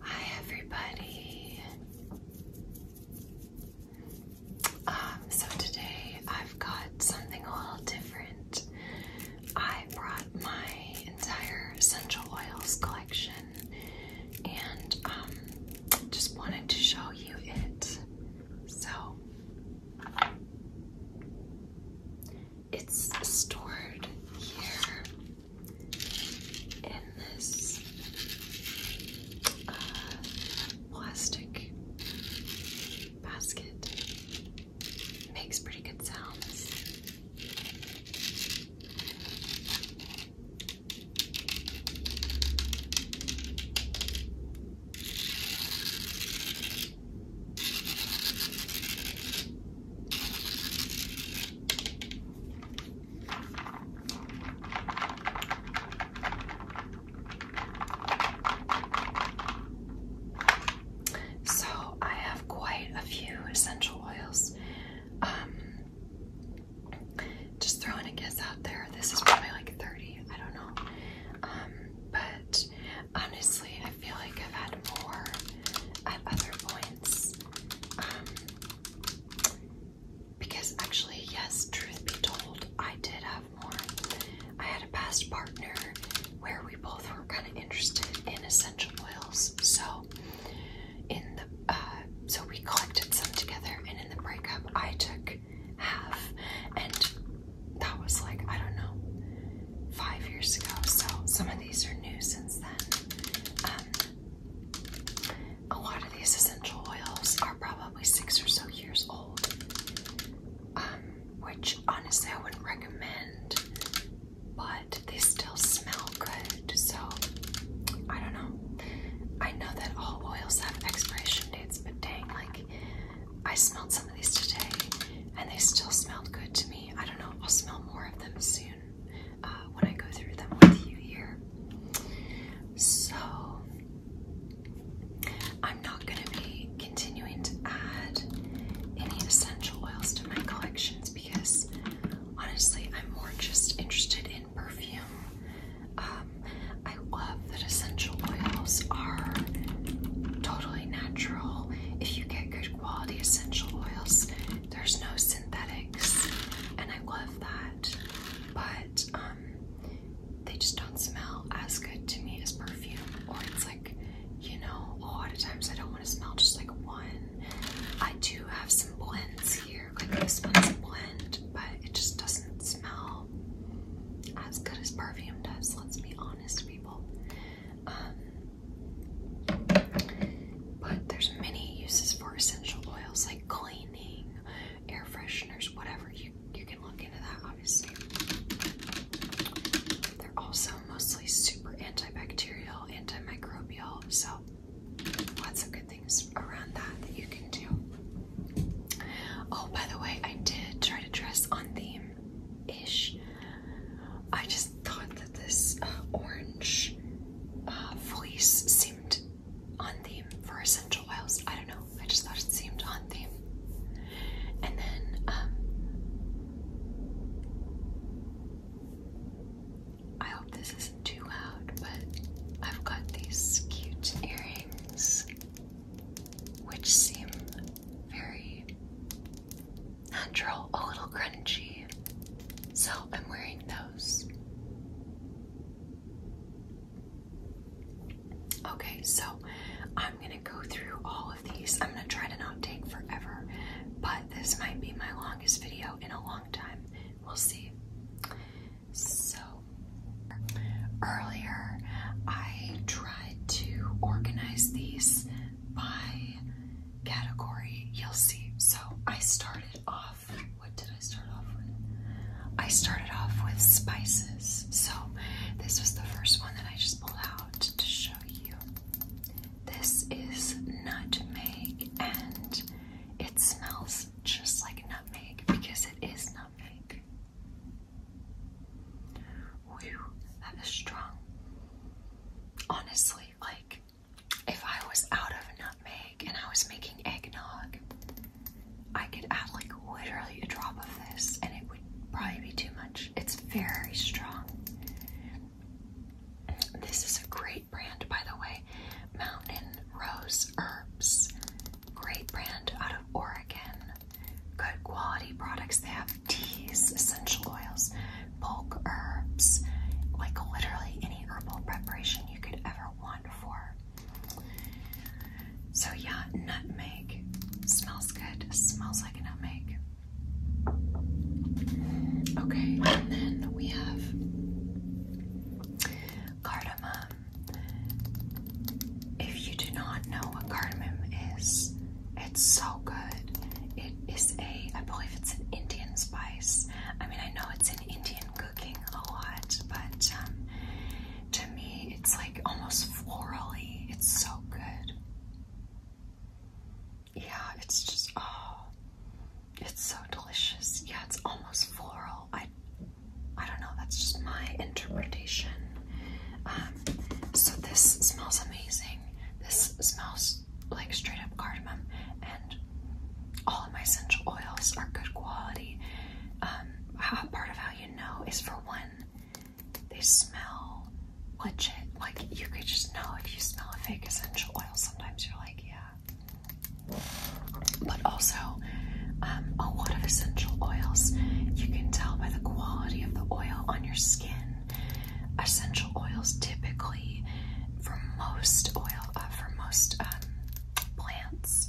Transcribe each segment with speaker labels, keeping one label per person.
Speaker 1: Hi everybody. Um, so today I've got something a little different. I brought my entire essential oils collection and um, just wanted to show you it. So it's stored here in this uh, plastic basket. Makes pretty good sounds. So I have quite a few essential oils. Um, just throwing a guess out there. This is probably like 30. I don't know. Um, but honestly, I feel like I've had more at other points. Um, because actually, yes, truth be told, I did have more. I had a past partner where we both were kind of interested in essential oils. So in the uh, so we collected some together, and in the breakup, I took half, and that was like I don't know five years ago. So some of these are new since then. Um, a lot of these essential oils are probably six or so years old, um, which honestly I wouldn't recommend, but they still smell good. So I don't know. I know that all oils have expiration dates, but dang, like I smelled some of these today and they still smelled good to me. I don't know. I'll smell more of them soon. Uh, when I go through them with you here. So I'm not going to be continuing to add any essential oils to my collections because honestly, I'm more just interested in perfume. Um, I love that essential oils are totally natural. If you get good quality essential oils, there's no synthetics, and I love that. But um, they just don't smell as good to me as perfume. Or it's like, you know, a lot of times I don't want to smell just like one. I do have some blends here, like this one's a blend, but it just doesn't smell as good as perfume does. Let's be honest, people. Um, but there's many uses for essential oils like cleaning, air fresheners, whatever. You you can look into that obviously. They're also mostly super antibacterial, antimicrobial, so lots of good things around that that you can do. Oh, by the way, I did try to dress on theme ish. I just thought that this uh, orange uh, seemed on theme for essential oils. I don't know. I just thought it seemed on theme. And then um, I hope this is too loud, but I've got these cute earrings which seem very natural, a little crunchy. So I'm wearing them Okay, so I'm gonna go through all of these. I'm gonna try to not take forever, but this might be my longest video in a long time. We'll see. So, earlier I tried to organize these by category. You'll see. So, I started off what did I start off with? I started off with spices. So this was the first one that I just pulled out to show you. This is nutmeg and it smells just like nutmeg because it is nutmeg. Whew, that is strong. Honestly, like if I was out of nutmeg and I was making eggnog, I could add like literally a drop of this and it would probably be too much. It's very strong. This is a great brand, by the way. Mountain Rose Herbs. Great brand out of Oregon. Good quality products. They have teas, essential oils, bulk herbs, like literally any herbal preparation you could ever one for. So yeah, nutmeg smells good. Smells like a nutmeg. Okay, and then we have cardamom. If you do not know what cardamom is, it's so good. It is a, I believe it's an Indian spice. I mean, I know it's an Indian a lot, but um, to me, it's like almost florally. It's so good. Yeah, it's just, oh, it's so delicious. Yeah, it's almost floral. I, I don't know, that's just my interpretation. Um, so this smells amazing. This smells like straight up cardamom all of my essential oils are good quality. Um, part of how you know is for one, they smell legit. Like you could just know if you smell a fake essential oil. Sometimes you're like, yeah. But also, um, a lot of essential oils you can tell by the quality of the oil on your skin. Essential oils typically, for most oil, uh, for most um, plants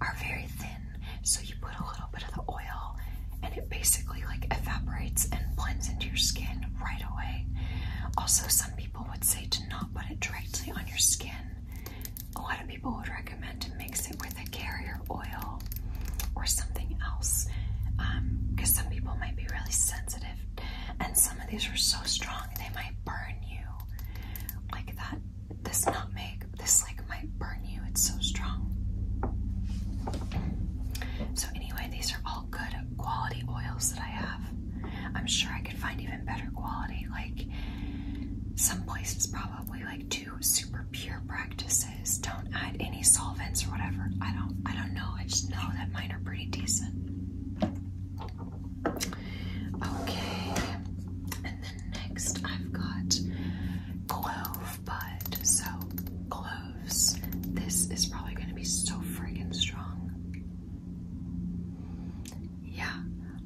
Speaker 1: are very thin, so you put a little bit of the oil and it basically like evaporates and blends into your skin right away. Also, some people would say to not put it directly on your skin. A lot of people would recommend to mix it with a carrier oil or something else because um, some people might be really sensitive and some of these are so strong they might burn you. Like that, this nutmeg, this like might burn you. It's so strong. So anyway, these are all good quality oils that I have. I'm sure I could find even better quality. Like some places probably like do super pure practices. Don't add any solvents or whatever. I don't I don't know. I just know that mine are pretty decent. Okay, and then next I've got clove bud. So, cloves. This is probably going to be so friggin' strong. Yeah.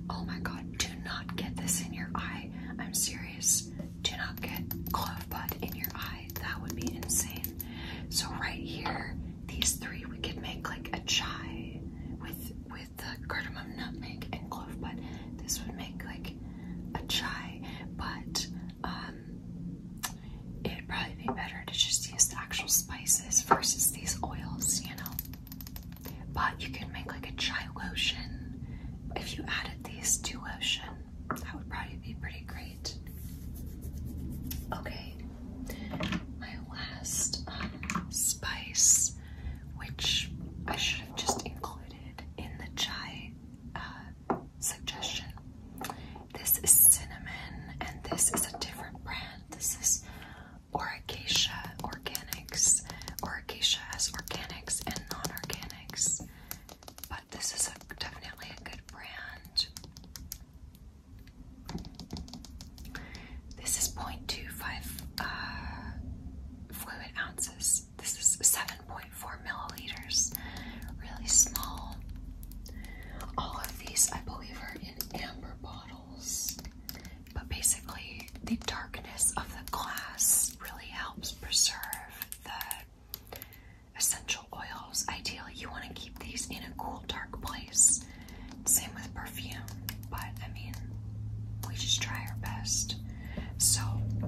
Speaker 1: Oh my god, do not get this in your eye. I'm serious. Do not get clove bud in your eye. That would be insane. So right here, these three we could make like a chai with with the cardamom, nutmeg, and clove, but this would make like a chai. But um, it'd probably be better to just use the actual spices versus these oils, you know. But you can make like a chai lotion if you added these to lotion. That would probably be pretty great. Okay, my last um, spice, which I should have just included in the chai uh, suggestion. This is cinnamon, and this is a different brand. This is Oracacia Organics. Oracacia has organics and non-organics, but this is definitely a good brand. This is 0.25 uh, fluid ounces. This is 7.4 milliliters. Really small. All of these, I believe, are in amber bottles. But basically, the darkness of the glass really helps preserve the essential oils. Ideally, you want to keep these in a cool, dark place. Same with perfume, but I mean, we just try our best. So,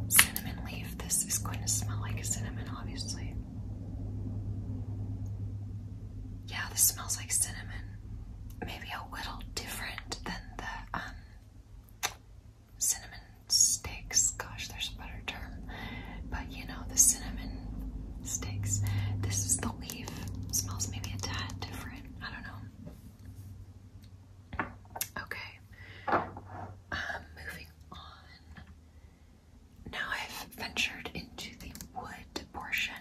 Speaker 1: cinnamon leaf, this is going to smell like cinnamon, obviously. Yeah, this smells like cinnamon. Maybe a little different than the um, cinnamon sticks. Gosh, there's a better term. But you know, the cinnamon sticks. This is the leaf. Smells maybe a tad different. I don't know. Okay. Um, moving on. Now I've ventured into the wood portion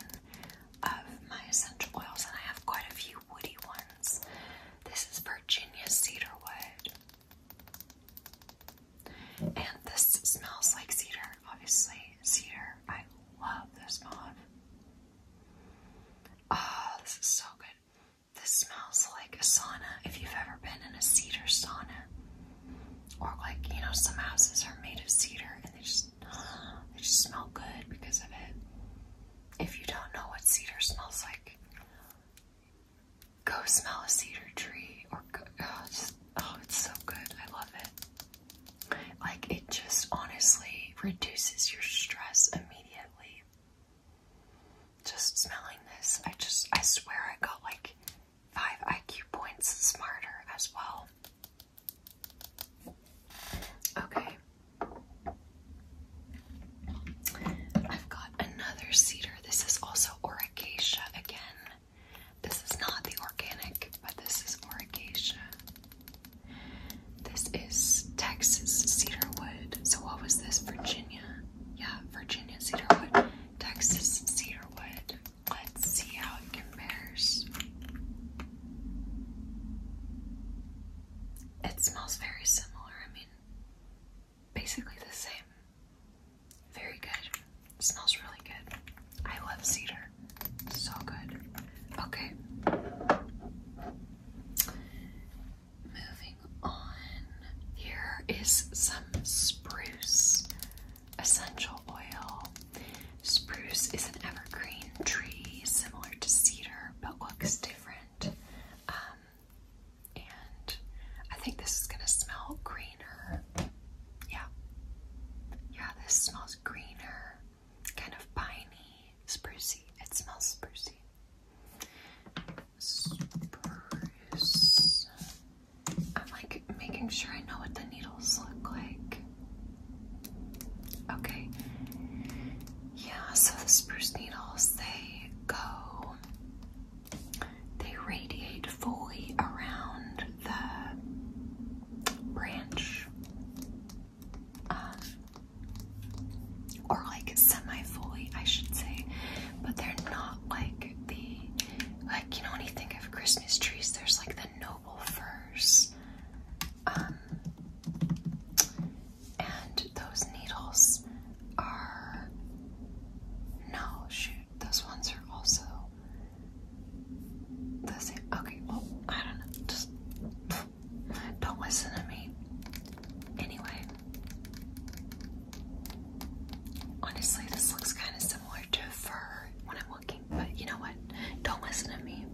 Speaker 1: of my essential oils, and I have quite a few woody ones. This is Virginia cedarwood, and this smells like cedar. Obviously, cedar. I love this smell Oh, this is so good. This smells like a sauna if you've ever been in a cedar sauna. Or like, you know, some houses are made of cedar and they just they just smell good because of it. If you don't know what cedar smells like, go smell a cedar tree or go, just, oh, oh, it's so good. I love it. Like it just honestly reduces your stress immediately. Just smelling this, I just I swear I got like five IQ points smarter as well. Okay. I've got another cedar. This is also Oracacia again. This is not the organic, but this is Oracacia. This is Texas cedarwood. So what was this? Virginia. Yeah, Virginia cedarwood. Texas cedarwood. Let's see how it compares. It smells very similar. I mean, basically the same. Very good. smells really good. I love cedar. So good. Okay. Moving on. Here is some spruce essential oil. Spruce is an evergreen tree similar to cedar but looks different. Um, and I think this is going to smell greener. Yeah. Yeah, this smells greener kind of piney, sprucey. It smells sprucey. Spruce. I'm like making sure I know what the needles look like. Okay. Yeah, so the spruce needles, they go, they radiate fully around the branch. Um, or like semi-fully, I should say, but they're not like the like you know when you think of Christmas trees, there's like the noble firs, um, and those needles are no shoot, those ones are also the same. Okay, well I don't know, just. Don't listen to me. Anyway, honestly, this looks kind of similar to fur when I'm looking, but you know what? Don't listen to me.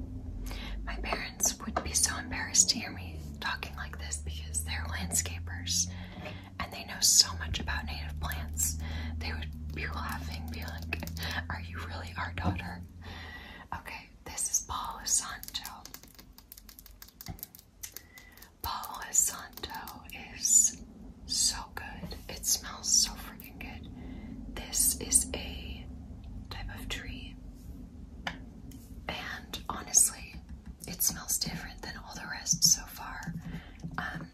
Speaker 1: My parents would be so embarrassed to hear me talking like this because they're landscapers and they know so much about native plants. They would be laughing, be like, Are you really our daughter? Okay, this is Palo Santo. Palo Santo is so good. It smells so freaking good. This is a type of tree, and honestly, it smells different than all the rest so far. Um,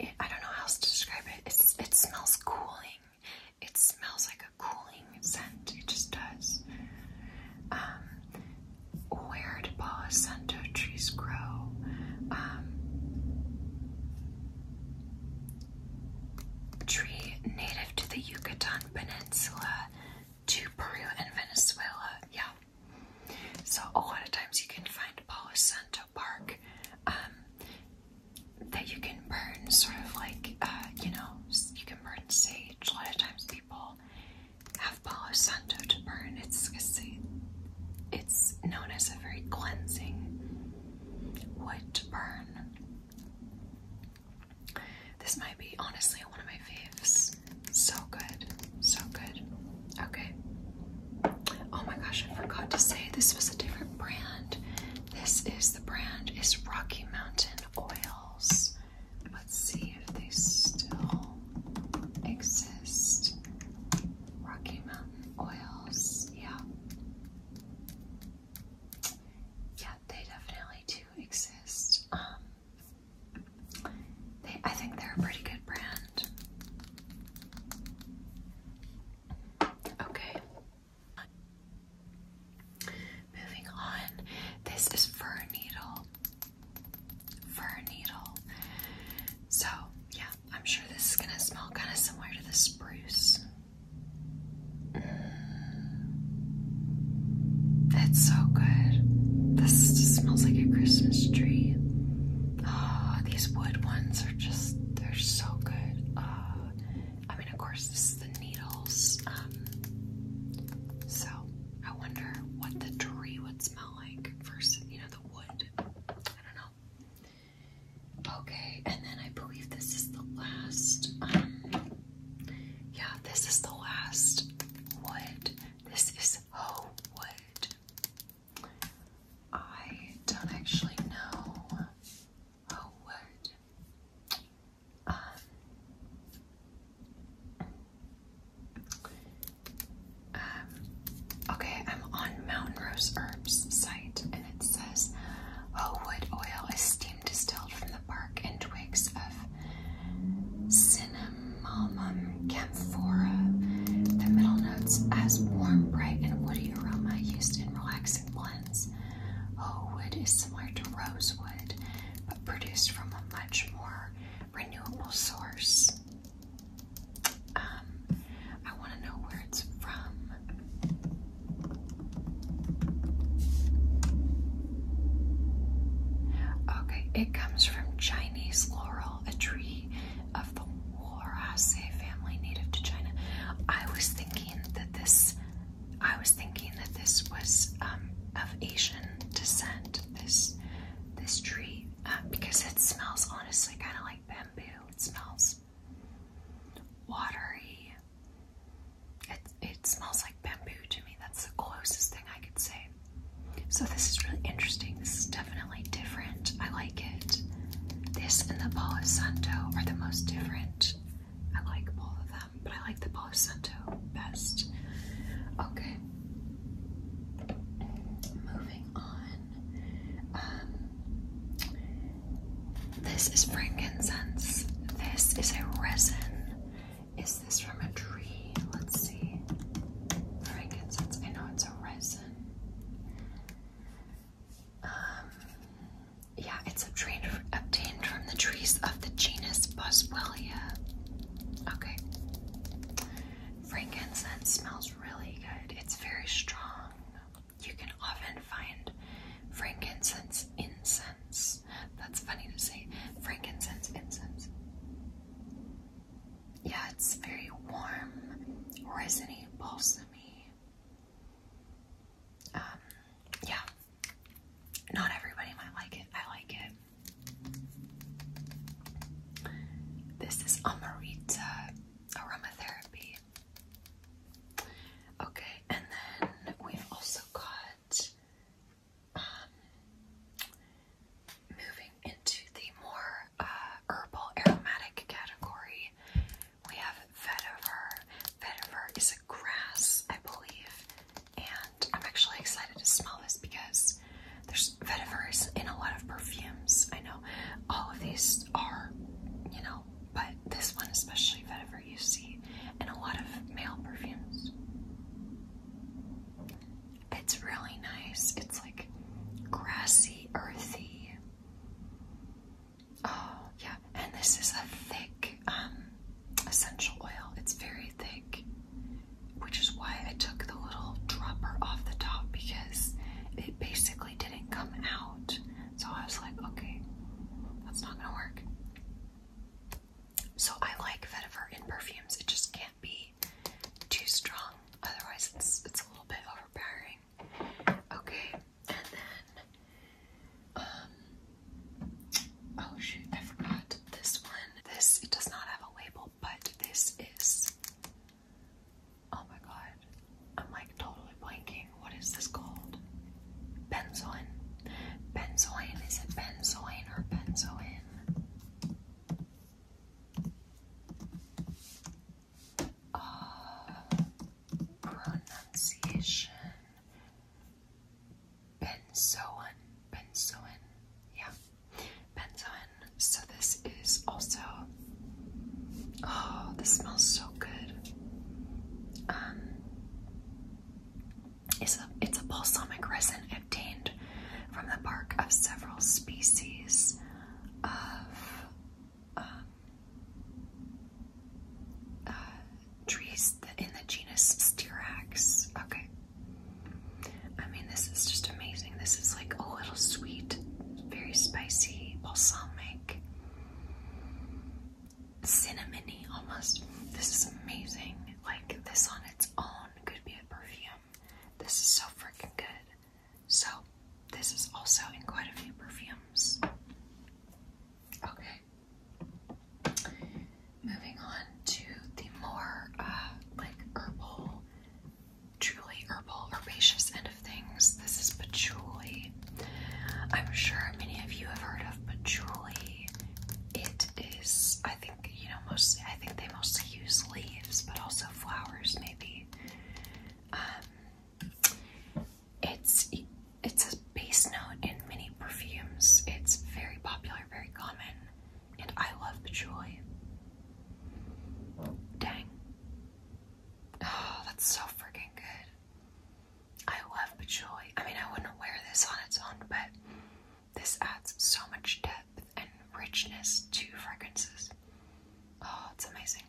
Speaker 1: it, I don't know how else to describe it. It's, it smells cooling. It smells like a cooling scent. It just does. Um, where do Palo Santo trees grow? Um, tree native to the Yucatan Peninsula, to Peru and Venezuela. Yeah. So a lot of times you can find Palo Santo Park um, that you can burn, sort of like, uh, you know, you can burn sage. A lot of times people have Palo Santo to burn. It's, it's, known as a very cleansing wood burn. This might be, honestly, one of my faves. So good. So good. Okay. Oh my gosh, I forgot to say this was a different brand. This is the brand is Rocky Mountain Oils. Let's see if they still exist. Rocky Mountain Oils, yeah. Yeah, they definitely do exist. Um, they, I think they're a pretty good brand. Okay, Moving on, this is fur needle. Fur needle. So, yeah, I'm sure this is gonna smell kind of similar to the spruce. Mm. It's so good. This just smells like a Christmas tree. Oh, these wood ones are just, they're so good. Oh, I mean, of course, this is the needles. Um, so I wonder what the tree would smell like versus, you know, the wood. I don't know. Okay, and then I believe this is the last. Um, yeah, this is the last wood. This is hoe wood. I don't actually know Oh, um, um, okay, I'm on Mountain Rose Herbs site, and it says, "Oh, wood oil is steam distilled from the bark and twigs of Cinnamomum camphora. The middle notes as warm, bright, and woody aroma used in relaxing blends." ones. wood is similar to rosewood, but produced from a much more renewable source. Um, I want to know where it's from. Okay, it comes from Chinese laurel, a tree of the Warase family native to China. I was thinking that this I was thinking that this was um, of Asian descent. This this tree uh, because it smells honestly kind of like bamboo. It smells watery. It it smells like bamboo to me. That's the closest thing I could say. So this is really interesting. This is definitely different. I like it. This and the Palo Santo are the most different I like all of them, but I like the Palo Santo best. Okay. Moving on. Um, this is frankincense. This is a resin. Is this from a tree? Let's see. Frankincense. I know it's a resin. Um, yeah, it's obtained, obtained from the trees of the genus Boswellia. Okay. Frankincense smells really good. It's very strong. You can often find frankincense incense. That's funny to say. Frankincense incense. Yeah, it's very warm, resiny, balsamy. Um, yeah, not everybody might like it. I like it. This is Amarita Therapy. Okay, and then we've also got um, moving into the more uh, herbal aromatic category. We have vetiver. Vetiver is a grass, I believe, and I'm actually excited to smell this because there's vetiver is in a lot of perfumes. I know all of these are, you know, but this one especially vetiver you see in a lot of male perfumes. It's really nice. It's like grassy, earthy. Oh, yeah. And this is a thick um, essential oil. It's very thick, which is why I took the little dropper off the top because it basically didn't come out. So I was like, okay, that's not going to work. So I like vetiver in perfumes. It just can't be too strong. Otherwise, it's, it's a little bit overpowering. Okay, and then um, oh shoot, I forgot this one. This, it does not have a label, but this is, oh my god, I'm like totally blanking. What is this called? Benzoin. Benzoin, is it benzoin or benzoin? Uh, pronunciation benzoin, benzoin, yeah, benzoin. So this is also, oh, this smells so good. Um, it's a it's a balsamic resin obtained from the bark of several species of. Um, uh, trees in the genus Styrax. Okay. I mean, this is just amazing. This is like a little sweet, very spicy, balsamic, cinnamony almost. This is amazing. Like, this on its own could be a perfume. This is so freaking good. So, this is also in quite a few perfumes. Okay. Moving on to the more uh, like herbal, truly herbal, herbaceous end of things. This is patchouli. I'm sure many of you have heard of patchouli. It is, I think, you know, mostly, I think they mostly use leaves, but also flowers, maybe. Um, it's a base note in many perfumes. It's very popular, very common, and I love patchouli. Dang. Oh, that's so freaking good. I love patchouli. I mean, I wouldn't wear this on its own, but this adds so much depth and richness to fragrances. Oh, it's amazing.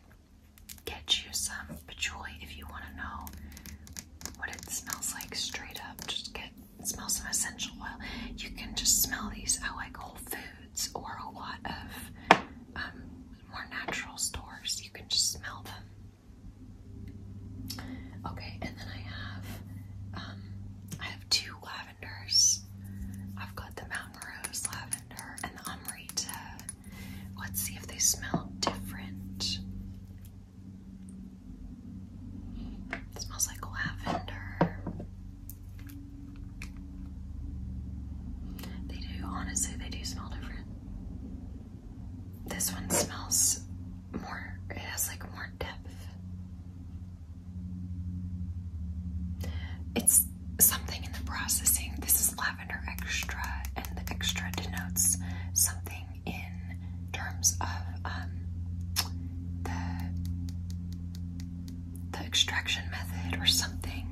Speaker 1: Get you some patchouli if you want to know what it smells like straight up. Just get smell some essential oil. You can just smell these at like Whole Foods or a lot of um, more natural stores. You can just smell them. Okay, and then I have um, I have two lavenders. I've got the Mountain Rose lavender and the Amrita. Let's see if they smell different. It smells like lavender. They do, honestly, they do smell different. This one smells more, it has like more depth. It's something in the processing. This is lavender extra, and the extra denotes something in terms of um, the extraction method or something,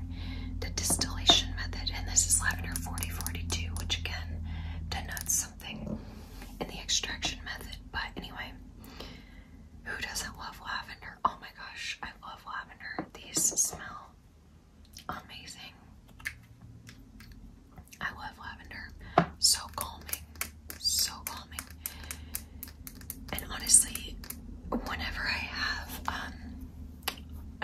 Speaker 1: the distillation method, and this is lavender 4042, which again denotes something in the extraction method. But anyway, who doesn't love lavender? Oh my gosh, I love lavender. These smell amazing. I love lavender. So calming. So calming. And honestly, whenever I have, um,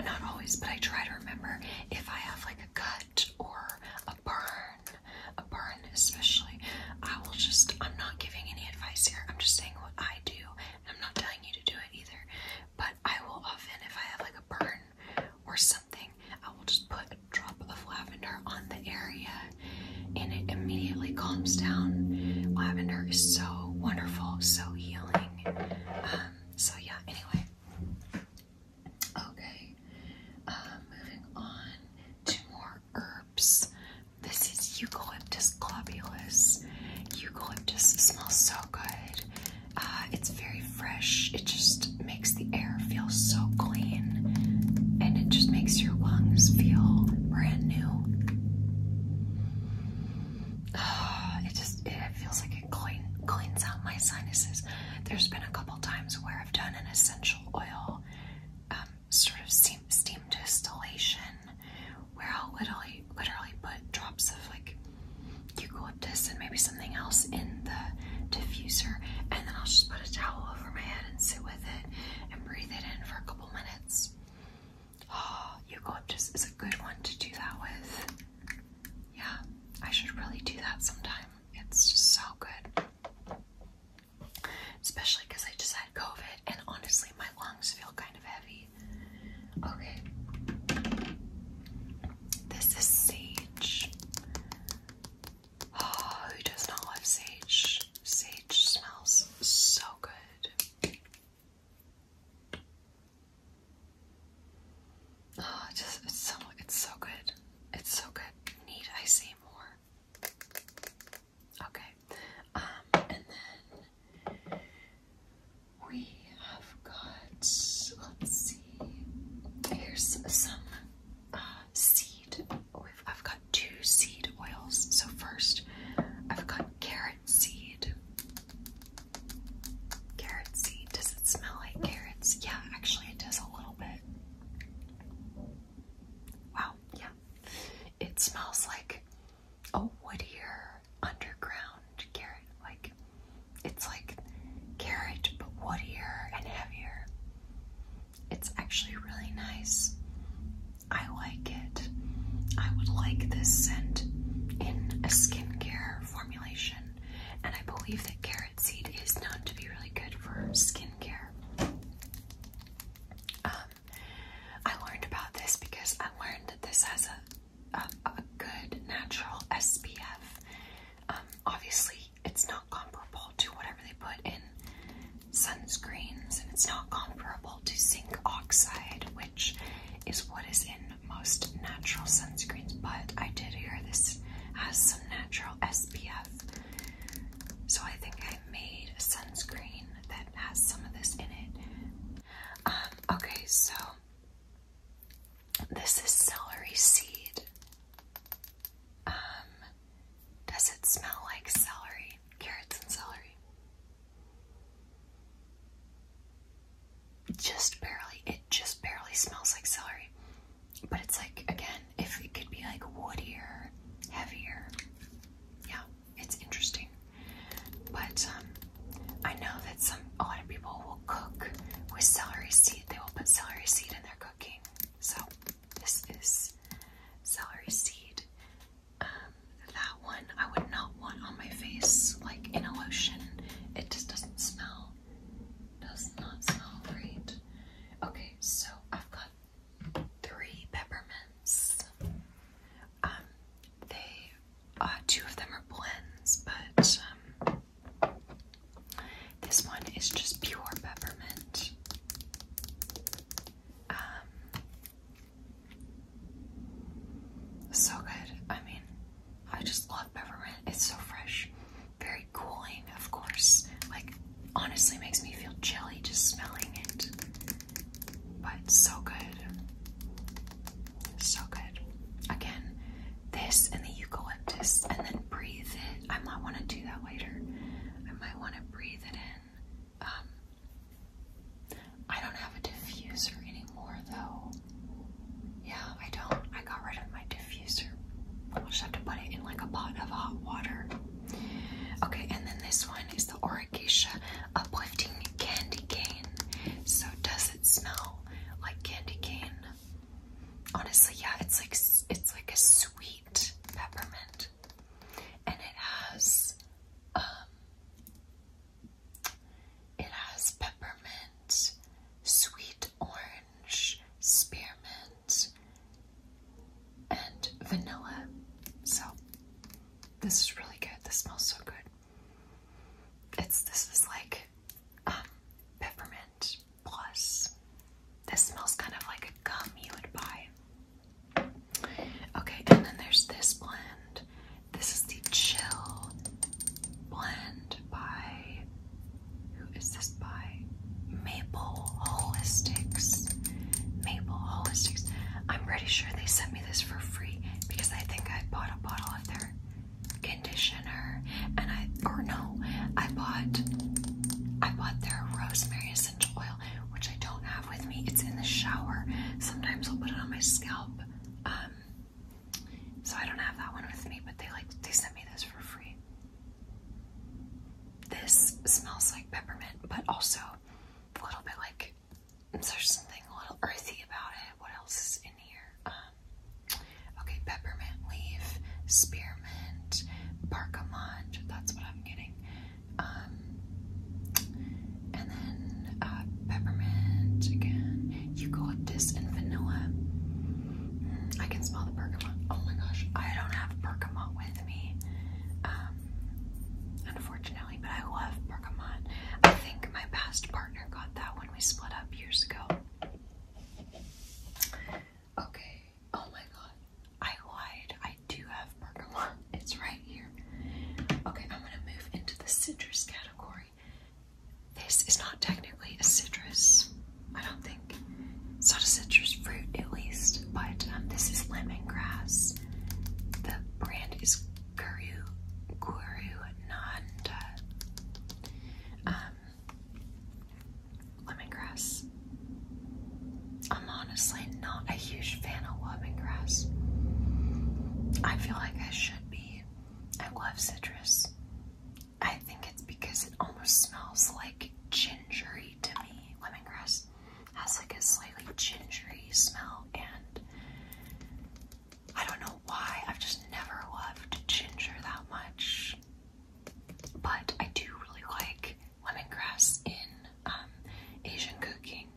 Speaker 1: not always, but I try to remember if I have like a cut or a burn, a burn especially, I will just, I'm not giving any advice here. I'm just saying what I do. I'm not telling you to do it either, but I will often, if I have like a burn or something, I will just put a drop of lavender on the area and it immediately calms down. Lavender is so wonderful, so healing. Um, so, yeah, anyway. Okay, uh, moving on to more herbs. This is eucalyptus globulus. Eucalyptus smells so good. Uh, it's very fresh. It just makes the air feel so clean and it just makes your lungs feel brand new. it just it feels like it clean, cleans out my sinuses. There's been a couple times where I've done an essential oil um, sort of steam, steam distillation where I'll literally, literally put drops of like eucalyptus and maybe some something else in the diffuser, and then I'll just put a towel over my head and sit with it and breathe it in for a couple minutes. Oh, ah, eucalyptus is a good one to do that with. Yeah, I should really do that sometime. It's just so good. Especially because I just had COVID and honestly my lungs feel kind of heavy. Okay. This is sage. Oh, who does not love sage? Sage smells so good. Oh, just it's so it's so good. It's so good. Need I say more? Okay. Um, and then we have got. Let's see. Here's some uh, seed. I've got two seed oils. So first, I've got carrot seed. Carrot seed. Does it smell like carrots? Yeah, actually, it does a little bit. Wow. Yeah, it smells like a woodier underground carrot. Like it's like carrot, but woodier and heavier. It's actually really nice. I like it. I would like this scent in a skincare formulation, and I believe that carrot seed is known to be really good for skincare. Um, I learned about this because I learned that this has a a, good natural SPF. Um, obviously, it's not comparable to whatever they put in sunscreens, and it's not comparable to zinc oxide, which is what is in most natural sunscreens. But I did hear this has some natural SPF, so I think I made a sunscreen that has some of this in it. Um, okay, so this is celery seed. Um, does it smell like celery? Carrots and celery. Just barely. It just barely smells like celery. But it's like, again, if it could be like woodier, heavier. Yeah, it's interesting. But um, I know that some a lot of people will cook with celery seed. They will put celery seed in their cooking. So this is celery seed. Um, that one I would not want on my face, like in a lotion. It just doesn't smell. Does not smell great. Okay, so I've got three peppermints. Um, they, uh, two of them are blends, but um, this one is just pure peppermint. Um, so good. I mean, I just love peppermint. It's so fresh, very cooling, of course. Like, honestly, makes me feel chilly just smelling it. But so good. So good. Again, this and the eucalyptus, and then breathe it. I might want to do that later. I might want to breathe it in. Um, I don't have a diffuser anymore though. Yeah, I don't. I got rid of my diffuser. I'll just have to put it in like a pot of hot water. Okay, and then this one is the Oracasha Uplifting Candy Cane. So does it smell like candy cane? Honestly, yeah, it's like it's like a sweet peppermint, and it has um, it has peppermint, sweet orange, spearmint, and vanilla. So this is really good. This smells so good. It's this is like um, peppermint Plus, this smells kind of like a gum you would buy. Okay, and then there's this blend. This is the Chill blend by who is this by? Maple Holistics. Maple Holistics. I'm pretty sure they sent me this for free because I think I bought a bottle of their conditioner and I or no, I bought I bought their rosemary oil, which I don't have with me. It's in the shower. Sometimes I'll put it on my scalp. Um, so I don't have that one with me, but they like they sent me this for free. This smells like peppermint, but also a little bit like there's something a little earthy about it. What else is in here? Um, okay, peppermint leaf, spearmint peppermint, barkamont, that's what I'm getting. Um, and then uh, peppermint again. You go with this and vanilla. Mm, I can smell the bergamot. Oh my gosh, I don't have bergamot with me, um, unfortunately, but I love bergamot. I think my past partner got that when we split up years ago. Okay, Oh my god, I lied. I do have bergamot. It's right here. Okay, I'm gonna move into the citrus category. This is not technically a citrus. I don't think it's not a citrus fruit, at least. But um, this is lemongrass. The brand is Guru Nanda. Um, lemongrass. I'm honestly not a huge fan of lemongrass. I feel like I should be. I love citrus. I think it's because it almost smells like gingery to me. Lemongrass has like a slightly gingery smell, and I don't know why. I've just never loved ginger that much. But I do really like lemongrass in um, Asian cooking.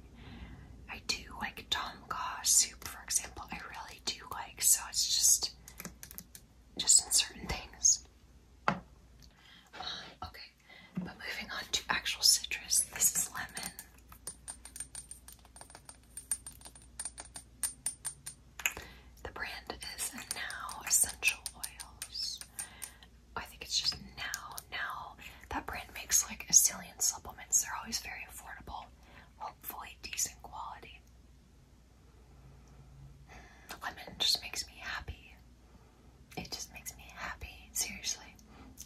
Speaker 1: I do like tom kha soup, for example. I really do like, so it's just just in certain things. Um, okay, but moving on to actual citrus. This is lemon. The brand is Now Essential Oils. I think it's just now, now that brand makes like a supplements. They're always very affordable, hopefully decent quality. Mm, lemon just makes me happy. It just makes me happy, seriously.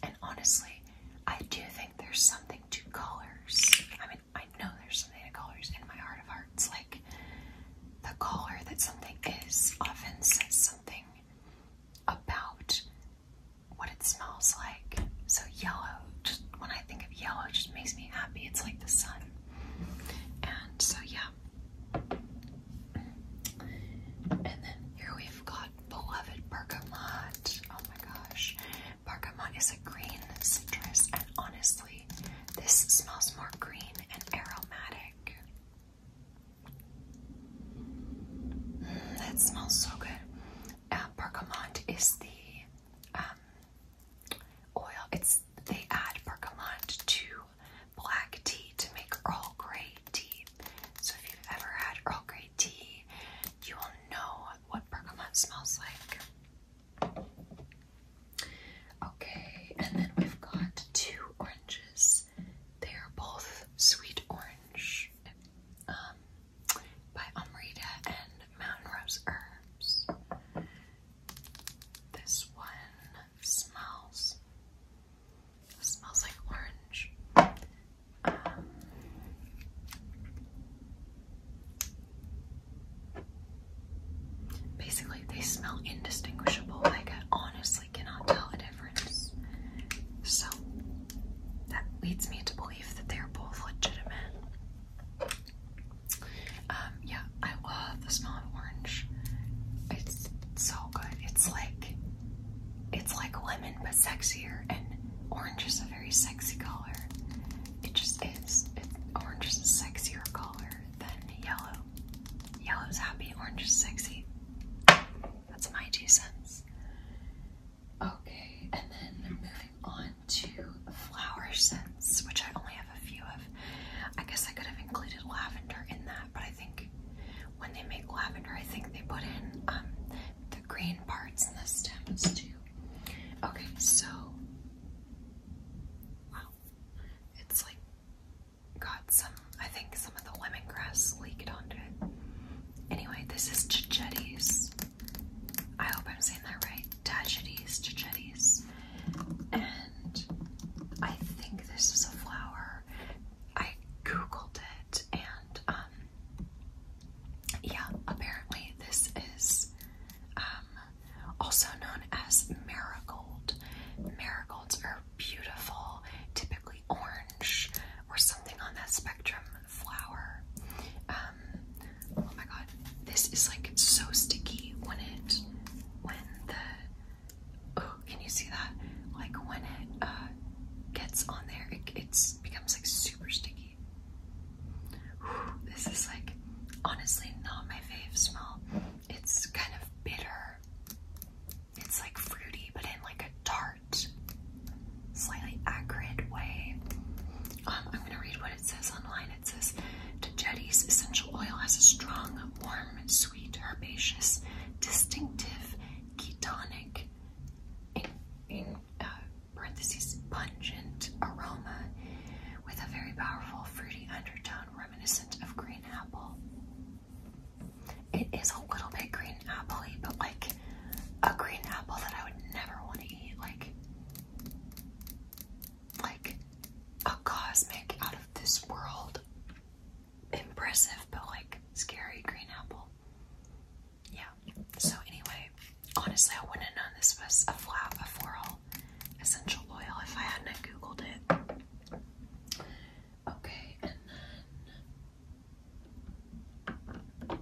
Speaker 1: And honestly, I do think there's something to colors. I mean, I know there's something to colors in my heart of hearts. Like, the color that something is often says something about what it smells like. So yellow, just when I think of yellow, it just makes me happy. It's like the sun. And so yeah. And then here we've got beloved bergamot. Oh my gosh. Bergamot is a green citrus and honestly, this smells more green and aromatic that smells so good. Uh, bergamot is the um, oil. It's they add bergamot to black tea to make Earl Grey tea. So if you've ever had Earl Grey tea, you will know what bergamot smells like. Okay, and then we've got two oranges they are both sweet orange um, by Amrita and Mountain Rose Herbs. This one smells smells like orange. Um, basically, they smell indistinguishable. Like, honestly cannot tell a difference. So that leads me to believe that they're both legitimate. Um, yeah, I love the smell of orange. It's so good. It's like it's like lemon but sexier, and orange is a very sexy color. It just is. orange is a sexier color than yellow. Yellow's happy, orange is sexy. That's my two cents. Okay, and then moving on to flower scents, which I only have a few of. I guess I could have included lavender in that, but I think when they make lavender, I think they put in um, the green parts and the stems too. Okay, so wow, it's like got some, I think some of the lemongrass leaked onto it. Anyway, this is Chichetti's. I hope I'm saying that right. Tachetes, Chichetti's. And I think this is a flower. I googled it and, um, yeah, apparently this is, um, also known as marigold. Marigolds are beautiful, typically orange or something on that spectrum flower. Um, oh my god, this is like so sticky when it, when the, oh, can you see that? Like when it uh, gets on there, it becomes like super sticky. this is like honestly not my fave smell. It's kind of bitter it's like fruity, but in like a tart, slightly acrid way. Um, I'm gonna read what it says online. It says, Tajetti's essential oil has a strong, warm, sweet, herbaceous, distinctive, ketonic, in, uh, parentheses, pungent aroma with a very powerful fruity undertone reminiscent of green apple. It is a little bit green apple but like a green apple that I would never want to eat. Like, like a cosmic out of this world. Impressive, but like scary green apple. Yeah. So anyway, honestly, I wouldn't know this was a flat a floral essential oil if I hadn't googled it. Okay, and then um,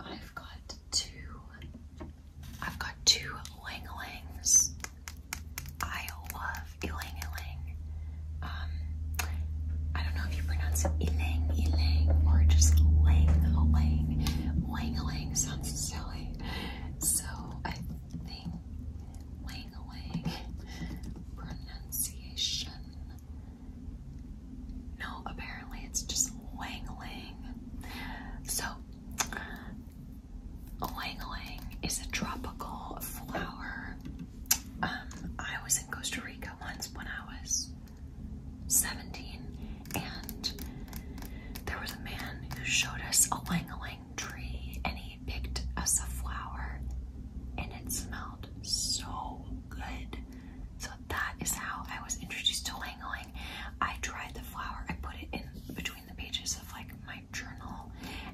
Speaker 1: I've got two. I've got two Ling Lings. I love Ilang Ilang. Um, I don't know if you pronounce it Ilang Ilang or just Lang Lang. Lang Lang sounds silly. So I thing. Pronunciation. No, apparently it's just Wang So, Wang Wang is a tropical flower. Um, I was in Costa Rica once when I was 17, and there was a man who showed us a Wang Wang tree and he picked us a flower and it smelled so good. So that is how I was introduced to Lang Lang. I tried the flower, I put it in between the pages of like my journal,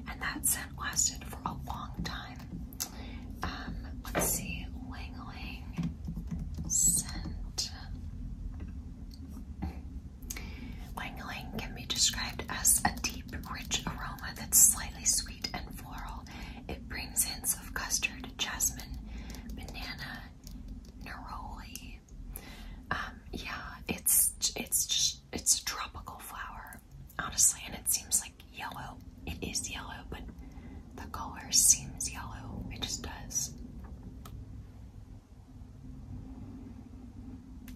Speaker 1: and that scent lasted for a long time. Um, let's see, Lang Lang scent. Lang can be described as a tea rich aroma that's slightly sweet and floral. It brings hints of custard, jasmine, banana, neroli. Um, yeah, it's it's just it's a tropical flower, honestly, and it seems like yellow. It is yellow, but the color seems yellow. It just does.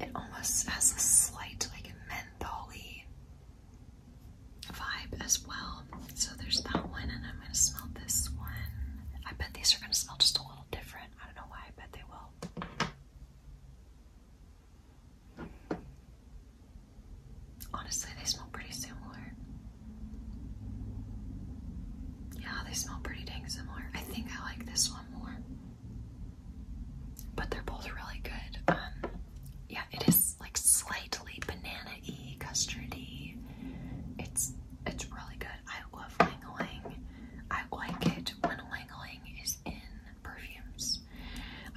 Speaker 1: It almost has a slight, like, mentholy vibe as well. So there's that one, and I'm gonna smell this one. I bet these are gonna smell just a little different. I don't know why. I bet they will. Honestly, they smell pretty similar. Yeah, they smell pretty dang similar. I think I like this one more. But they're both really good. Um, yeah, it is like slightly banana-y, custardy. It's it's really good. I love Langling. I like it when Langling is in perfumes.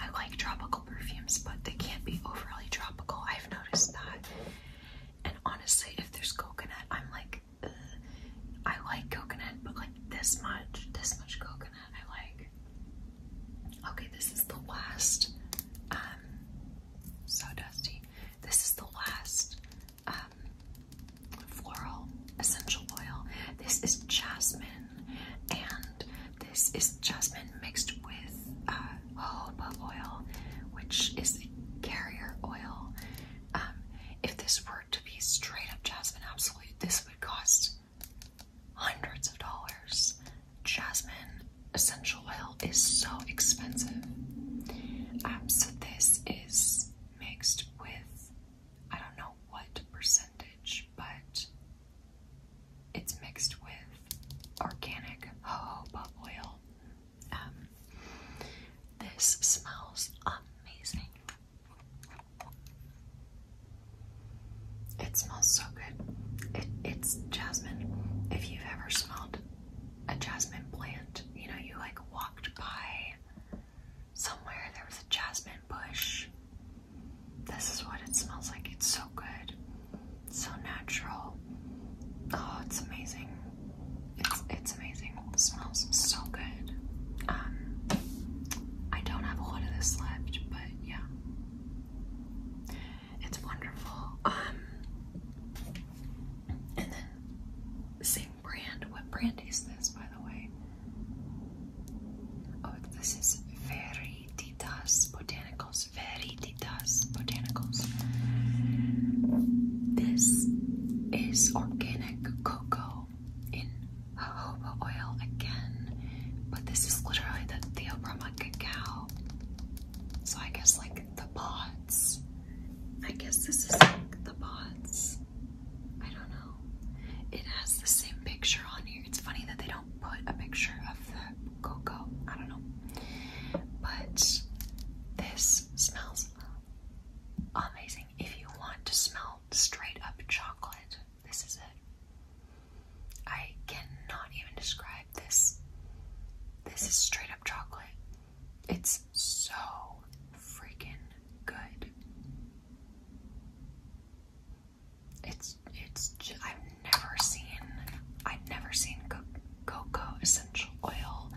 Speaker 1: I like tropical perfumes, but they can't be overly tropical. I've noticed that. And honestly, if there's coconut, I'm like, I like coconut, but like this much, this much coconut, I like. Okay, this is the last. Um, so dusty. This is the last um, floral essential oil. This is jasmine, and this is jasmine mixed with uh, jojoba oil, which is carrier oil. Um, if this were to be straight up jasmine absolute, this would cost hundreds of dollars. Jasmine essential oil is so expensive. Um, so this is mixed with I don't know what percentage, but it's mixed with organic jojoba oil. Um, this smells amazing. It smells so good. It, it's jasmine. If you've ever smelled a jasmine plant, you know, you like walked by somewhere, there was a jasmine bush. This is what it smells like. It's so good. It's so natural. Oh, it's amazing. It's it's amazing. smells so good. Um I don't have a lot of this left, but yeah. It's wonderful. Um and then same brand. What brand is this by the way? Oh this is Veritas Botanicals. Veritas Botanicals. This is organic cocoa in jojoba oh, oil again, but this is literally the Theobroma Brahma cacao. So I guess like the pods. I guess this is like the pods. I don't know. It has the same picture on here. It's funny that they don't put a picture of the cocoa. I don't know. But this smells amazing. If you want to smell straight up chocolate, this is it. I cannot even describe this. This is straight up chocolate. It's so freaking good. It's it's just, I've never seen I've never seen cocoa essential oil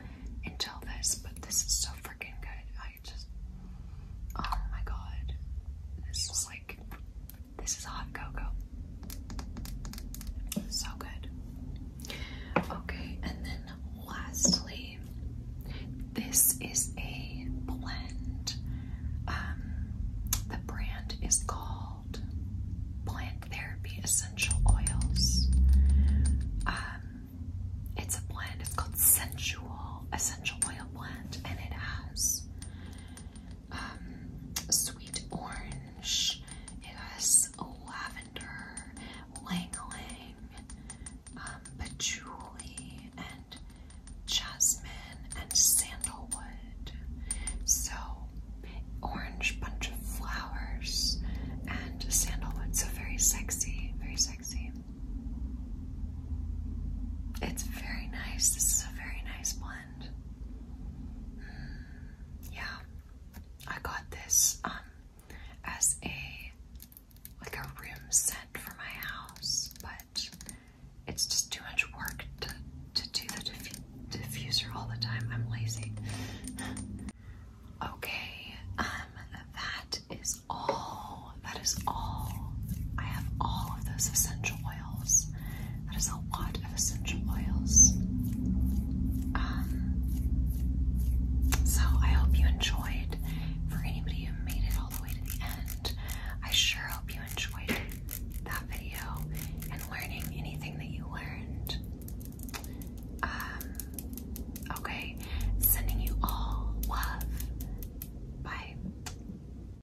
Speaker 1: until this, but this is so freaking good. I just oh my god, this is like this is hot cocoa. So good. Okay, and then lastly, this is a blend. Um, the brand is called Plant Therapy Essential Oils. Um, it's a blend, it's called Sensual Essential Oil Blend, and it has um, sweet orange. It has lavender, lang um, patchouli, and jasmine and sandalwood. So orange bunch of flowers and sandalwood. So very sexy, very sexy. It's very nice. This is a very nice one. Hmm. yeah, I got this um as a like a room scent for my house, but it's just too much work to to do the diffuser all the time. I'm lazy. okay, um, that is all. That is all. I have all of those essential oils. That is a lot of essential oils. Um, so I hope you enjoyed. For anybody who made it all the way to the end, I sure hope you enjoyed that video and learning anything that you learned. Um, okay, sending you all love. Bye.